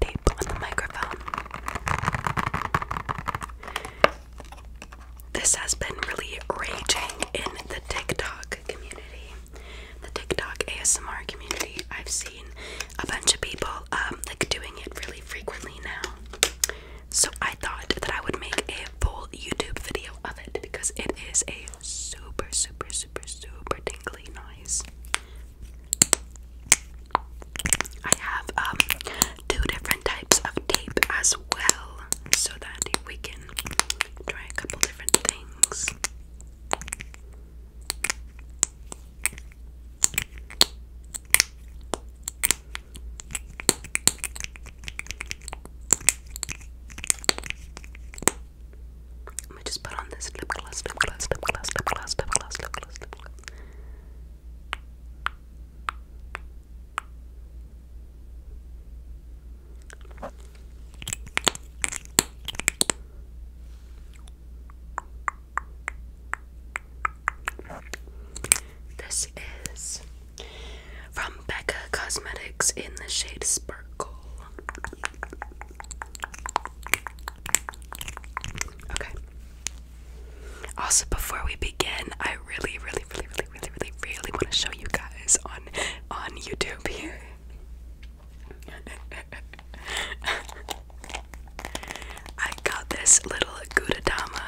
tape on the microphone. This has been really raging in the TikTok community. The TikTok ASMR community. I've seen a bunch of people um, like doing it really frequently now. So I thought that I would make a full YouTube video of it because it is a super super super, super tingly noise. I have um, two different types of tape as well, so that we can try a couple different things. This is from Becca Cosmetics in the shade Sparkle. Okay. Also, before we begin, I really, really, really, really, really, really, really want to show you guys on on YouTube here. I got this little Gudadama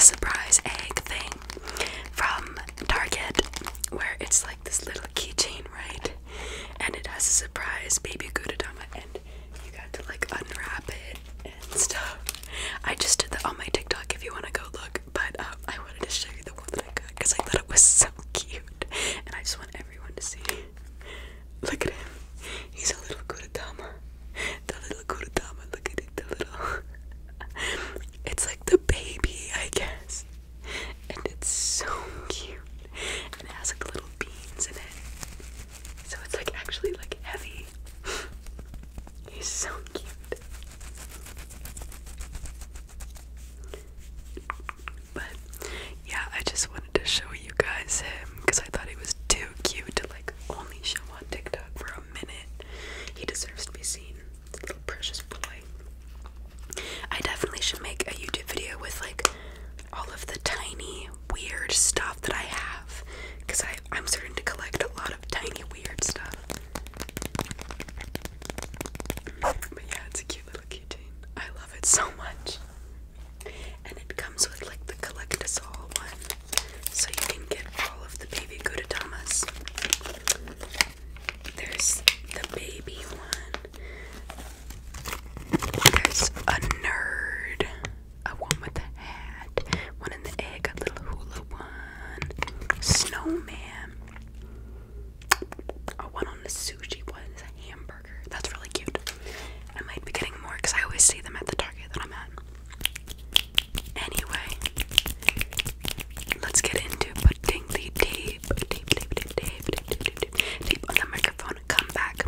surprise egg thing from Target, where it's like this little keychain, right? And it has a surprise baby Gudadama in it you got to like unwrap it and stuff. I just did that on my TikTok if you want to go look, but um, I wanted to show you the one that I got because I thought it was so cute and I just want everyone to see. Look at him. He's a little Kuratama. The little Kuratama, look at it, the little. it's like the baby, I guess. And it's so cute. and it has like little beans in it. So it's like actually like heavy. He's so cute. But yeah, I just wanted to show you guys him because I thought he was too cute to like only show on TikTok for a minute. He deserves to be seen. Little precious boy. I definitely should make a YouTube video with like all of the tiny weird stuff that I have because I'm starting to collect a lot of tiny weird stuff. But yeah, it's a cute little keychain. I love it so much. And it comes with like the collectasol one. So you can get all of the baby Gudatamas. There's the baby one. There's a nerd, a one with a hat, one in the egg, a little hula one, snowman, a one on the sushi, one a hamburger. That's really cute. I might be getting more because I always see them at the Target that I'm at. Anyway, let's get into putting the tape, tape, tape, tape, tape, tape, on the microphone. Come back.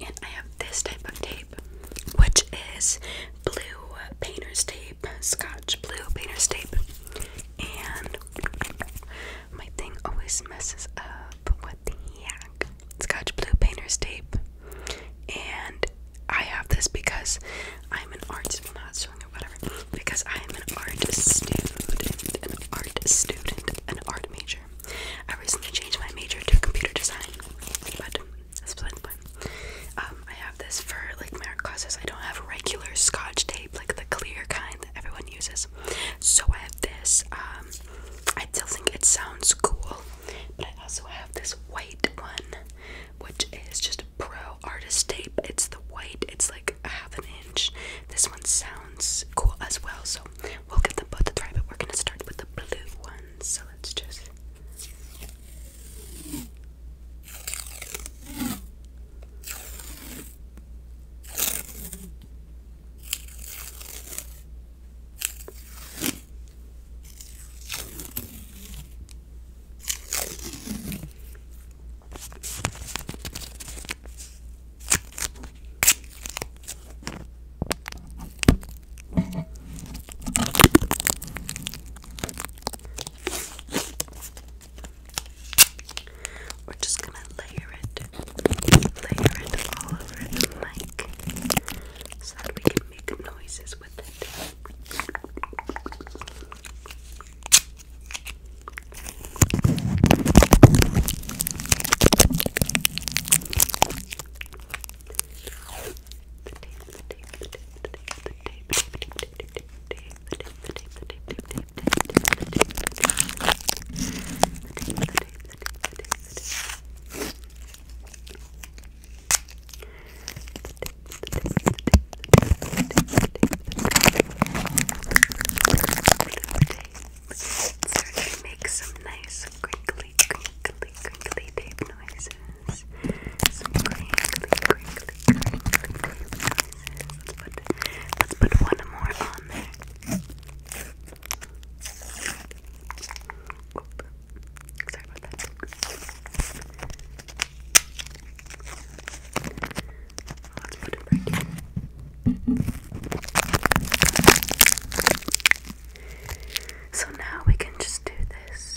And I have this type of tape, which is blue painter's tape, scotch blue painter's tape. And my thing always messes up. What the heck? Scotch blue painter's tape. And I have this because I'm an art, well, not sewing or whatever, because I am an art student, an art student, an art major. I recently changed my major to computer design, but that's beside the point. Um, I have this for like my art classes. I don't have regular Scotch tape, like the clear kind that everyone uses. So I have this. Um, I still think it sounds cool, I also have this white one, which is just pro artist tape. It's the white. It's like half an inch. This one sounds cool as well. So We'll give them both a try, but we're gonna start with the blue one. So let's just. We're just gonna layer it, layer it all over the mic so that we can make noises with it. It's starting to make some nice some crinkly, crinkly, crinkly tape noises. Some crinkly, crinkly, crinkly tape noises. Let's put, let's put one more on there. Oop. Sorry about that. Let's put it back in. So now we can just do this.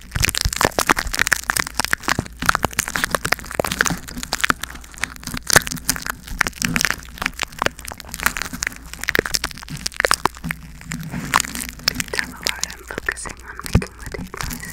Tell the Lord I'm focusing on making the tape noise.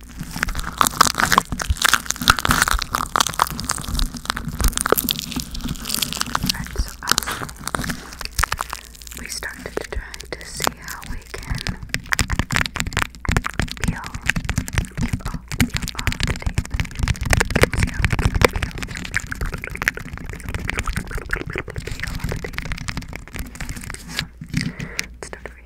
Alright, so I'll, we started to try to see how we can peel, peel off, peel off the tape. Let's see how we can peel, peel, peel, peel, peel, peel off the tape. So, let's start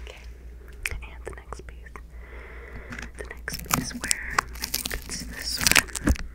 Okay, and the next piece. The next piece where I think it's this one. Okay,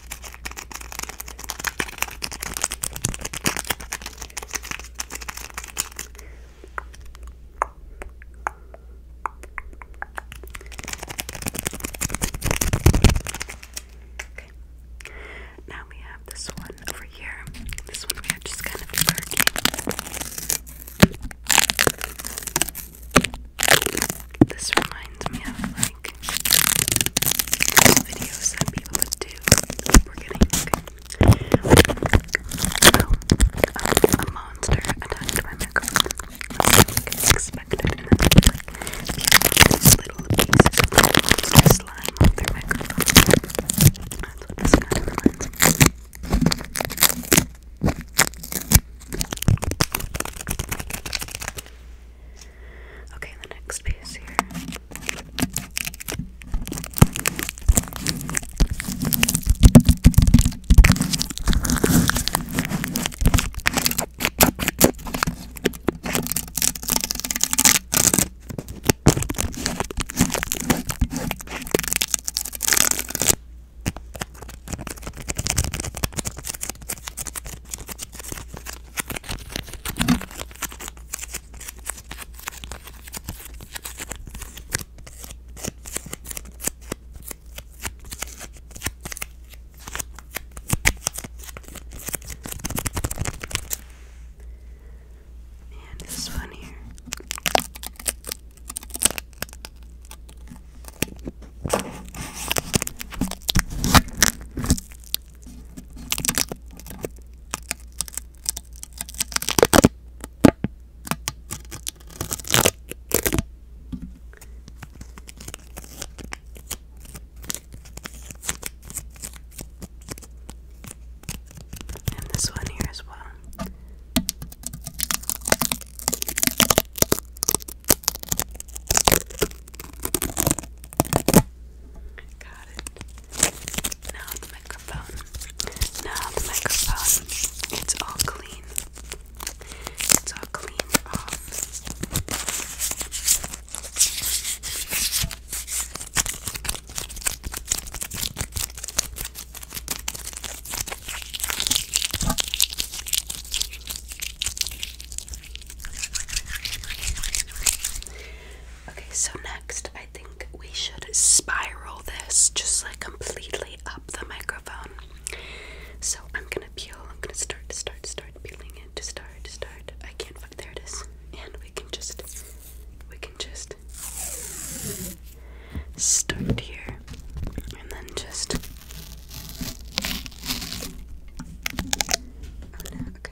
Okay. Now we have this one over here. This one we are just kind of working. This reminds reminds me of like videos that people do we're getting a monster attacked my microphone like expected and like these little pieces of slime on their microphone that's what this kind of reminds me Okay, the next piece here. And this one here. And this one here as well. Got it. Now the microphone. Now the microphone. It's all clean. It's all cleaned off. Okay, so next I think we should spiral this just like completely up the microphone. So I'm gonna peel, I'm gonna start, start, start peeling it, to start, start. I can't find there it is. And we can just we can just start here and then just oh okay.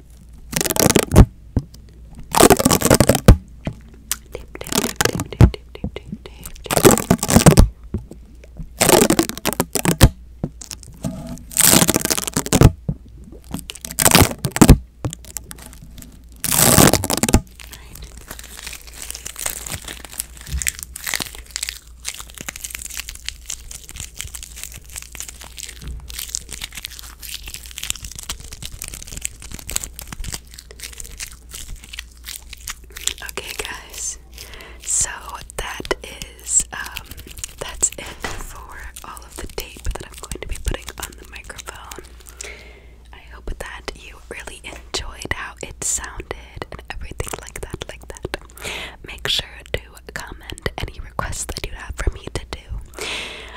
Tip, tip, tip, tip, tip, tip, tip, tip, tip. Right. Okay, guys. So that is um, that's it for all of the tape that I'm going to be putting on the microphone. I hope that you really enjoyed how it sounded and everything like that like that. Make sure to comment any requests that you have for me to do.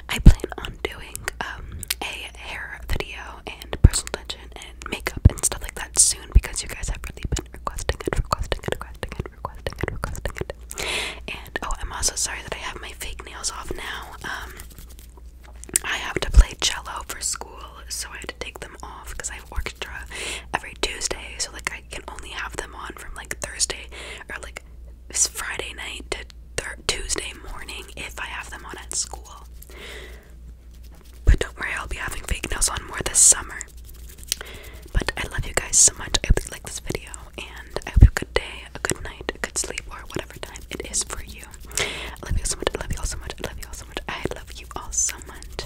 I plan on doing um, a hair video and personal attention and makeup and stuff like that soon because you guys have really been requesting it, requesting it, requesting it, requesting it, requesting And oh, I'm also sorry that I have my fake nails off now. Um, I have to play cello for school, so I had to take them off because I have orchestra every Tuesday. So like I can only have them on from like Thursday or like like it's Friday night to Tuesday morning if I have them on at school. But don't worry, I'll be having fake nails on more this summer. But I love you guys so much. I hope you like this video, and I hope you have a good day, a good night, a good sleep, or whatever time it is for you. I love you all so much. I love you all so much. I love you all so much. I love you all so much.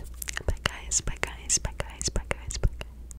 Bye guys. Bye guys. Bye guys. Bye guys. Bye guys.